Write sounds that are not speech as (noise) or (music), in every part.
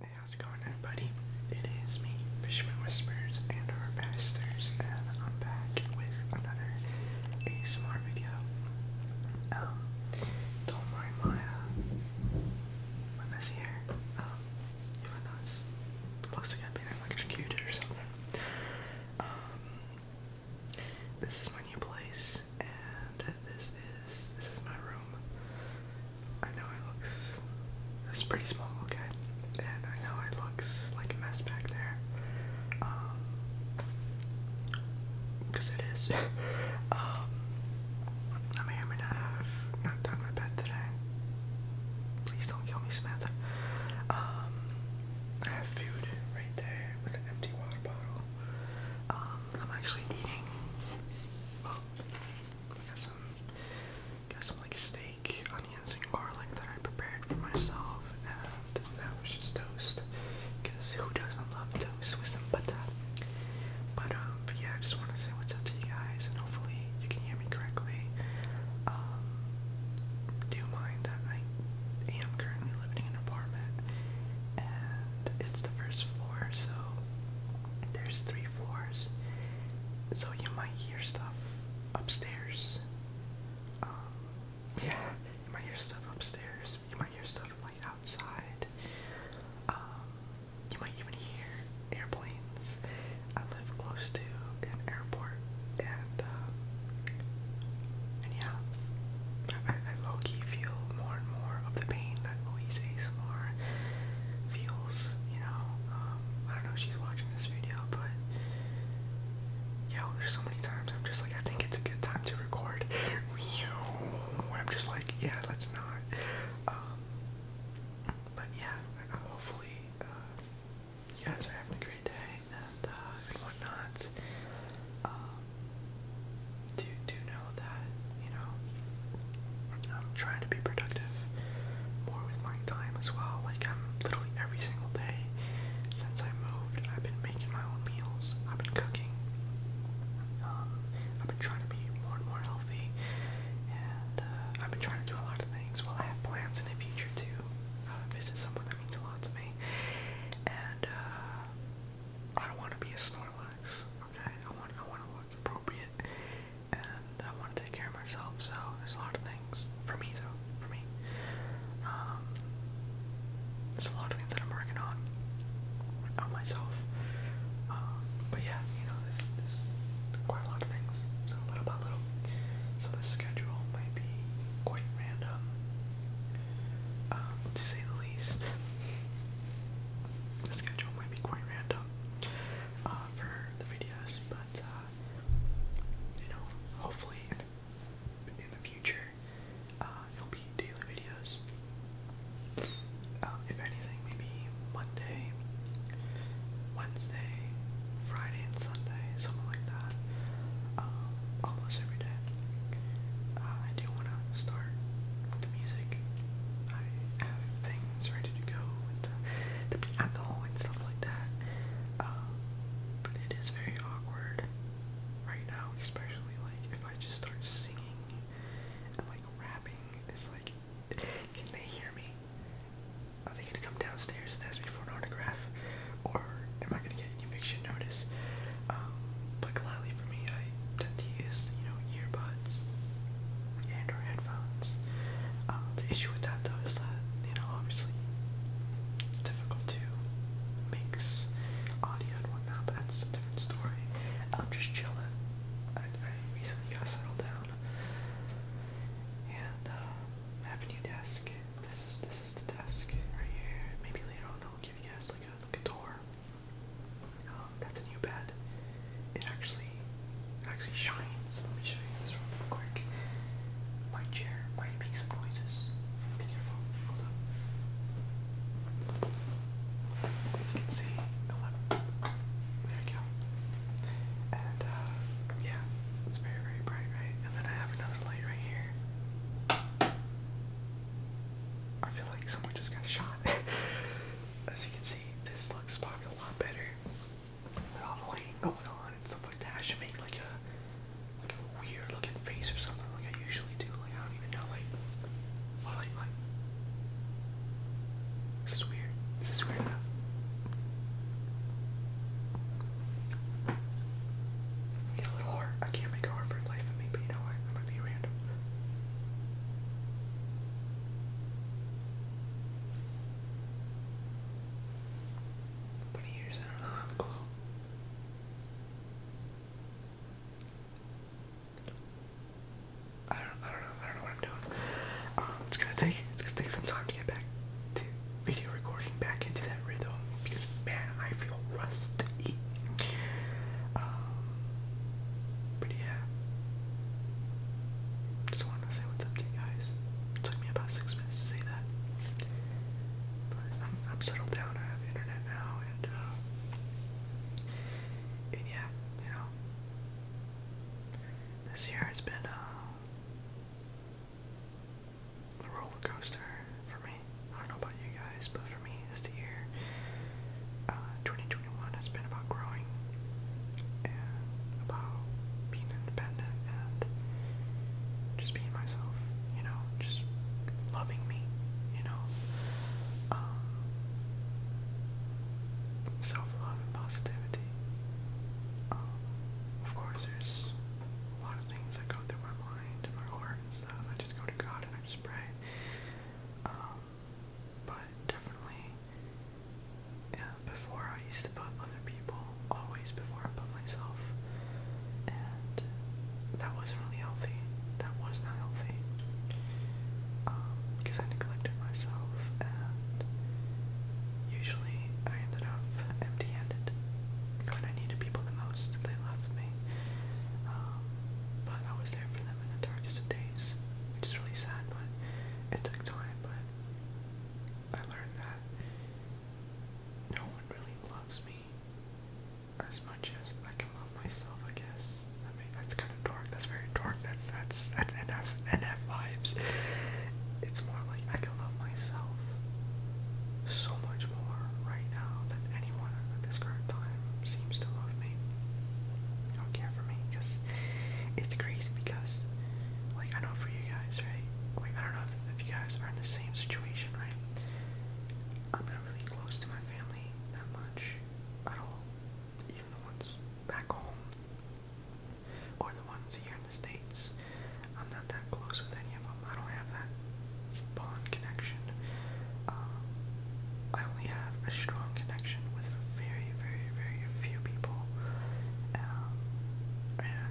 Hey, how's it going, everybody? It is me, Fisherman Whispers, and our pastors, and I'm back with another ASMR video. Um, don't mind my, uh, my messy hair. Um, it looks like I've been electrocuted or something. Um, this is my new place, and this is this is my room. I know it looks it's pretty small, okay, and I know it looks like a mess back there. Um, because it is. (laughs) um, I may or may have not done my bed today. Please don't kill me, Samantha. Um, I have food right there with an empty water bottle. Um, I'm actually eating. Well, I got some, got some like steak, onions, and garlic that I prepared for myself, and that was just toast. Cause who doesn't love toast with some butter? But um, yeah, I just want to what's up to you guys, and hopefully you can hear me correctly. Um, do mind that I am currently living in an apartment, and it's the first floor, so there's three floors, so you might hear stuff upstairs. Um, yeah, you might hear stuff upstairs. You might hear stuff like outside. Um, you might even hear airplanes. I live close to an airport, and uh, yeah, I, low key feel more and more of the pain that Louise ASMR feels. You know, um, I don't know if she's watching this video, but yo, there's so many times I'm just like, I think it's a good time to record. Where I'm just like, yeah, let's not. Um, but yeah, hopefully uh, you guys are having a great day and uh, um, do do know that you know I'm trying to be productive more with my time as well. Like I'm literally every single day since I moved, I've been making my own meals. I've been cooking. Um, I've been trying to be more and more healthy. And uh, I've been trying to do a lot of things. Well, I have plans in the future to uh, visit someone that means a lot to me. And uh, I don't want to be a Snorlax. Okay, I want I want to look appropriate, and I want to take care of myself. So there's a lot of things for me though. For me, um, there's a lot of things that I'm working on on myself. Um, but yeah, you know, this quite a lot of things, so little by little. So the schedule might be quite random, um, to say the least. The schedule might be quite random uh, for the videos, but uh, you know, hopefully in the, future, uh, it'll be daily videos. Um, if anything, maybe Monday, Wednesday, Friday, and Sunday, something like that. Um, almost every day. Uh, I do want to start with the music. I have things ready to go with the, the piano and stuff like that. Um, but it is very awkward right now, especially like if I just start singing and like rapping. It's like can they hear me? Are they gonna come downstairs and ask me for an autograph? Or am I gonna get an eviction notice? Um, but gladly for me, I tend to use, you know, earbuds and or headphones. Um, the issue with that though is that, you know, obviously it's difficult to mix audio and whatnot, but that's a different story. I'm just chilling. I, I recently got settled down and uh, desk. This is this is the desk right here. Maybe later on I'll give you guys like a, tour. Um, that's a new bed. It actually actually shines. Let me show you this real quick. My chair might make some noises. Be careful. Hold up. As you can see, there we go. Uh, yeah, it's very, very bright, right? And then I have another light right here. I feel like someone just got shot. (laughs) As you can see, this looks probably a lot better. With all the lighting going on and stuff like that, I should make like a like a weird looking face or something like I usually do. Like I don't even know like this is weird. This is weird enough. Get a little hard. I can't make it hard life of me, but you know what? I'm gonna be random. Twenty years, I don't know, I don't, I don't know, I don't know what I'm doing. Um, it's gonna take, it's gonna take some time to get back to video recording, back into that rhythm, because man, I feel rusty. Um, but yeah, just wanted to say what's up to you guys. took me about six minutes to say that, but I'm, settled down. I have internet now, and uh, and yeah, you know. This year has been uh, a roller coaster for me. I don't know about you guys, but for me, this year, uh, 2021 has been about growing and about being independent and just being myself, you know, just loving me, you know. Um, so self-love and positivity. Um, of course, there's a lot of things that go through my mind and my heart and stuff. I just go to God and I just pray. Um, but definitely, yeah, before I used to put other people, always before I put myself. And that wasn't really healthy. That was not healthy because um, I neglected myself, and usually I ended up empty-handed when I needed people the most. They left me, um, but I was there for them in the darkest of days, which is really sad. But it took time. But I learned that no one really loves me as much as I can love myself, I guess. I mean, that's kind of dark. That's very dark. That's that's that's NF NF vibes. It's more like I can love myself so much more right now than anyone at this current time seems to love me. Don't care for me because it's crazy. Because like I know for you guys, right? Like I don't know if, if you guys are in the same situation, right? I'm not really close to my family that much at all even the ones back home or the ones here in the States. I'm not that close with any of them. I don't have that bond connection. Um, I only have a strong connection with very, very, very few people. Um, and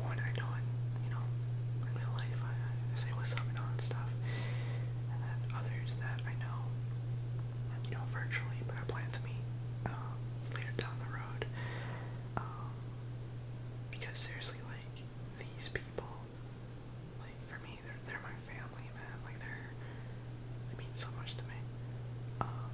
one I know in, you know, in real life, I, I say what's up and all that stuff. And then others that I know you know, virtually, but I plan to meet um, later down the road. Um, because seriously, like these people, like for me, they're they're my family, man. Like they're they mean so much to me. Um,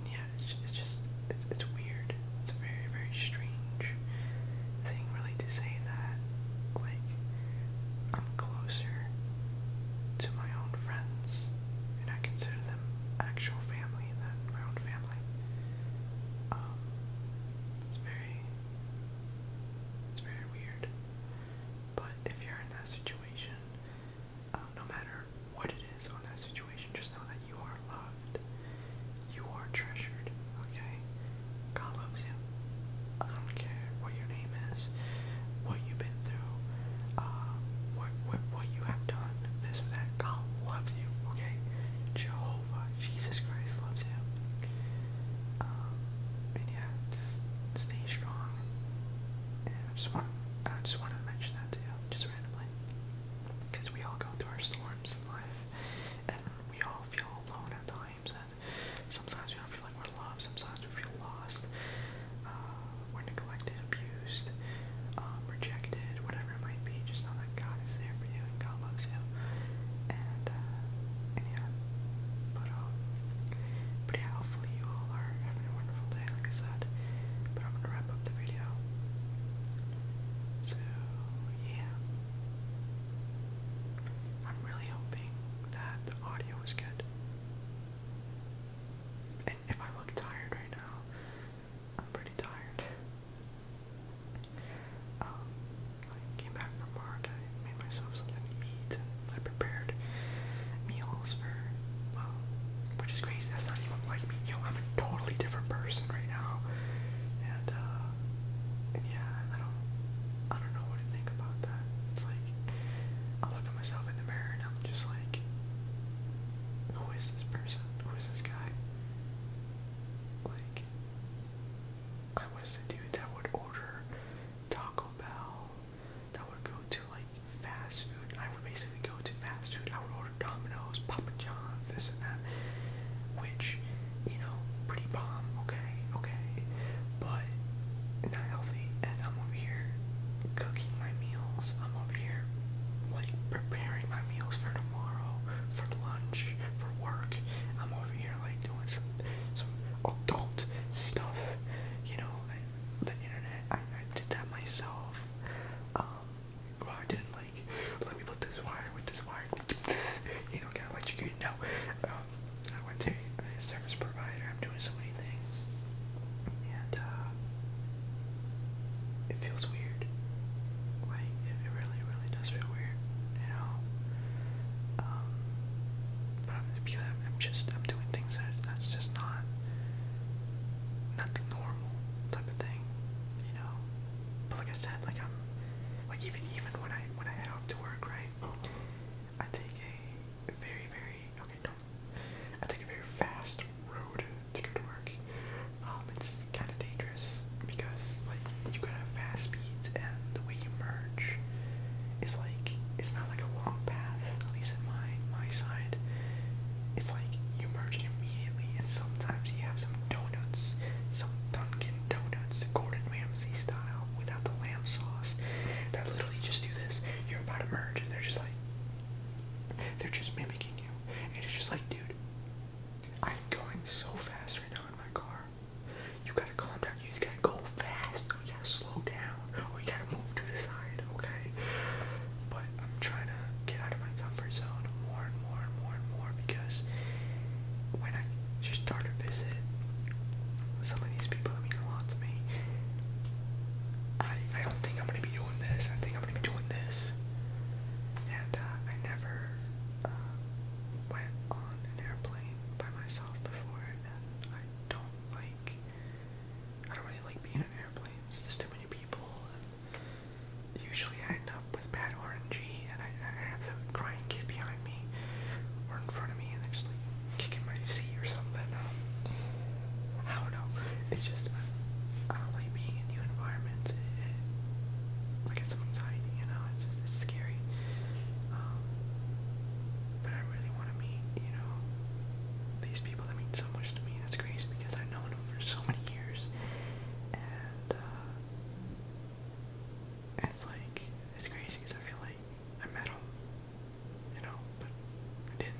and yeah, it's, it's just it's it's weird. It's a very very strange thing to say that. Like, I'm closer to my own friends, and I consider them actual family than my own family. Um, it's very, it's very weird. But if you're in that situation, um, no matter what it is on that situation, just know that you are loved, you are treasured. Okay, God loves you. I don't care what your name is, what you've been through, uh, what, what, what you have done, this and that. God loves you, okay? Jehovah, Jesus Christ loves you. Um, and yeah, just stay strong. And I just want, I just wanted to mention that to you, just randomly, because we all go through our storms in life, and we all feel alone at times. And (laughs) Sometimes we don't feel like we're loved. Sometimes we feel lost. Uh, we're neglected, abused, um, rejected, whatever it might be. Just know that God is there for you and God loves you. And, uh, yeah. But, um, but yeah, you all are having a wonderful day, like I said. But I'm gonna wrap up the video. So, yeah. I'm really hoping that the audio was good. And if I look tired right now, I'm pretty tired. Um, I came back from work, I made myself something to eat, I prepared meals for, well, which is crazy, that's not even like me. Yo, I'm a totally different person right now. And, uh, yeah, I don't, I don't know what to think about that. It's like I look at myself in the mirror and I'm just like, who is this person? Who is this guy? Like, I was the dude that would order Taco Bell, that would go to like fast food. I would basically go to fast food. I would order Domino's, Papa John's, this and that, which you know, pretty bomb, okay, okay, but not healthy. And I'm over here cooking my meals. I'm over here like preparing my meals for tomorrow, for lunch, for work. I'm over here like doing some some adult stuff, you know, the, internet. I, I did that myself. Um, I didn't like. Let me put this why with this wire. (laughs) You know, get electrocuted. No. Um, I went to a service provider. I'm doing so many things. And, uh, it feels weird. Like, it really, really does feel weird, you know? Um, but because I'm, just, I'm doing things that, that's just not, not normal type of thing, you know? But like I said, like I'm, like even, even when I, when I head off to work, right? I take a very, very okay, I take a very fast road to go to work. Um, it's kind of dangerous because like you gotta have fast speeds, and the way you merge is like it's not like a long path. At least in my my side, it's like you merge immediately, and sometimes you have some donuts, some Dunkin' Donuts, Gordon Ramsay style without the lamb sauce that literally just do this. You're about to merge, and they're just like, they're just mimicking you. And it's just like, dude, I'm going so fast right now in my car. You gotta calm down. You gotta go fast. Or you gotta slow down. Or you gotta move to the side, okay? But I'm trying to get out of my comfort zone more and more and more and more because when I just start to visit some of these people that mean a lot to me, I, I don't think I'm gonna be doing this. I think I'm gonna be doing this. And uh, I never uh, went on an airplane by myself before, and I don't like. I don't really like being in airplanes. There's too many people. And usually, I end was bad orangey, and I, I had some crying kid behind me or in front of me, and they're just like kicking my seat or something. Um, I don't know. It's just I don't like being in new environments. It, it, like it's anxiety, you know. It's just it's scary. Um, but I really want to meet, you know, these people that mean so much to me. That's crazy because I've known them for so many years, and. Uh, it's like, it's crazy because I feel like I met him, you know, but I didn't.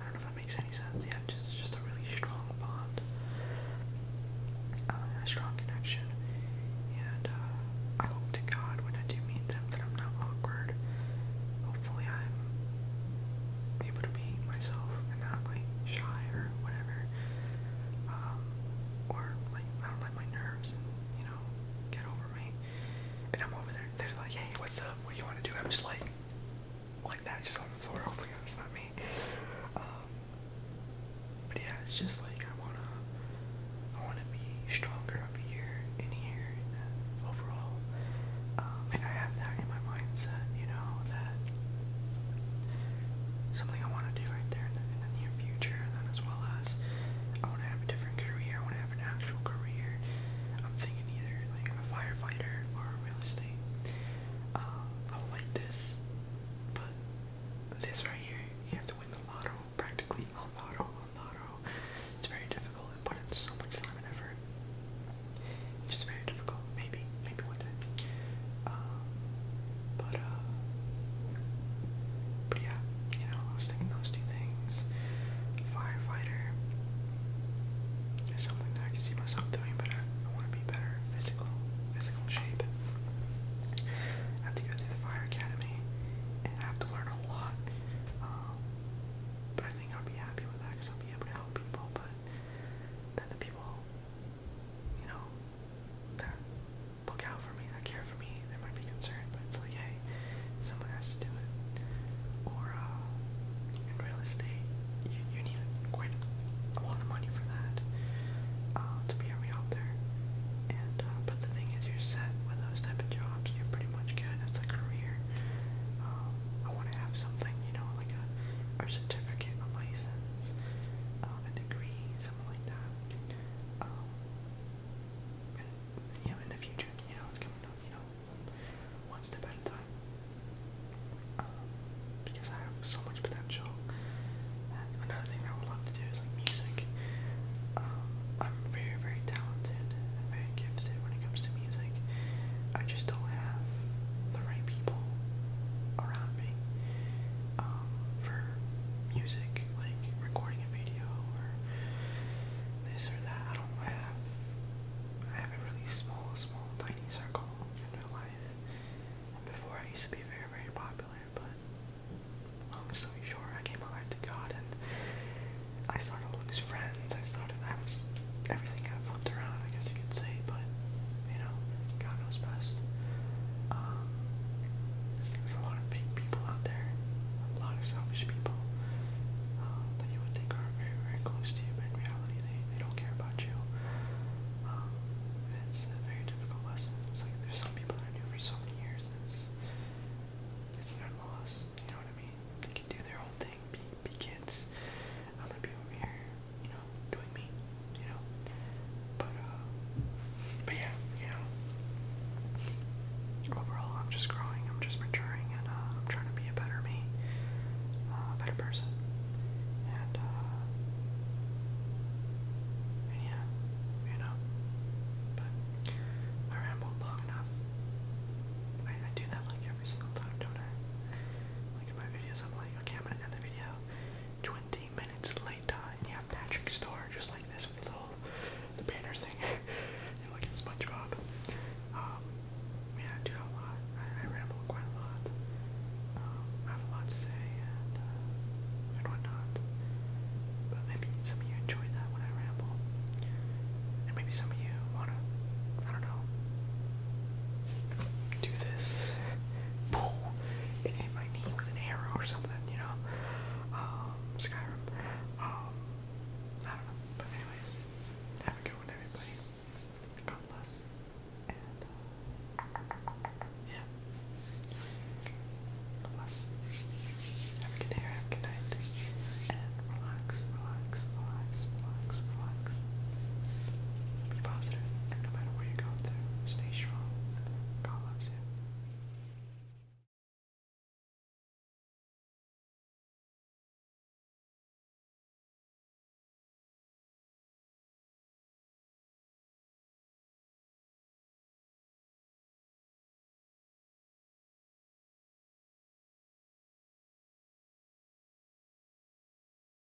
I don't know if that makes any sense. Yeah, just just a really strong bond, uh, a strong connection, and uh, I hope to God when I do meet them that I'm not awkward. Hopefully, I'm able to be myself and not like shy or whatever, um, or like I don't let my nerves, you know, get over me. And I'm over there. They're like, "Hey, what's up? What you want to do?" I'm just like, like that, just on the floor. Oh my it's not me. Um, but yeah, it's just like I wanna, I wanna be stronger up here, in here, and overall. Um, and I have that in my mindset, you know, that something I want to do right there in the, near future, and then as well as I want to have a different career. I want to have an actual career. I'm thinking either like a firefighter or real estate. Um, I like this, but this right here, you have to win the lotto, practically a lotto, a lotto. It's very difficult and put in so much time and effort. It's just very difficult. Maybe maybe one day. Um, uh, but yeah, you know, I was thinking those two things. Firefighter is something that I can see myself doing, but I, want to be better physical, physical shape. I have to go through the fire academy, and have to learn a lot. Um, but I think I'll be happy with that because I'll be able to help people. But then the people you know, they're, look out for me, they care for me, they might be concerned, but it's like, hey, someone has to do it. Or, uh, in real estate, you, you need quite a lot of money for that uh, to be a realtor. And, uh, but the thing is, you're set with those type of jobs, you're pretty much good, that's a career. Um, I want to have something, you know, like a, a certificate, a license, um, a degree, something like that. Um, and, you know, in the future, you know, it's coming you know, one step at a time. Um, because I have so much potential. another thing I would love to do is music. Um, I'm very, very talented and very gifted when it comes to music. I just don't have the right people around me um, for music, like recording a video or this or that. I don't I have I have a really small, small, tiny circle in real life. And before I used to be very, very popular, but long story short, I gave my life to God and I started to lose friends. I started I was everything got flipped around, I guess you could say, but you know, God knows best. Um, there's, there's a lot of big people out there, a lot of selfish people uh, that you would think are very, very close to you, but in reality, they, they don't care about you. Um, it's a very difficult lesson. It's like there's some people that I knew for so many years, and it's, it's their loss. You know what I mean? They can do their own thing, be, be kids, I'm gonna be over here, you know, doing me, you know. But uh, but yeah, you know. Overall, I'm just growing. I'm just maturing, and uh, I'm trying to be a better me, uh, a better person. And uh, and yeah, you know. But I rambled long enough. I do that like every single time, don't I? Like in my videos, I'm like, okay, I'm gonna end the video 20 minutes later, and you have Patrick's door just like this with the little the banners thing. you look at SpongeBob. yeah, um, I do a lot. I, ramble quite a lot. Um, I have a lot to say and uh, and whatnot. But maybe some of you enjoy that when I ramble, and maybe some of you wanna, I don't know, do this and hit my knee with an arrow or something, you know? Um, Skyrim. Um, I don't know. But anyways, have a good one, everybody. God bless. Uh, yeah. God bless. Have a good day, have a good night. And relax, relax, relax, relax, relax. Be positive, and no matter what you're going through, stay strong. God loves you.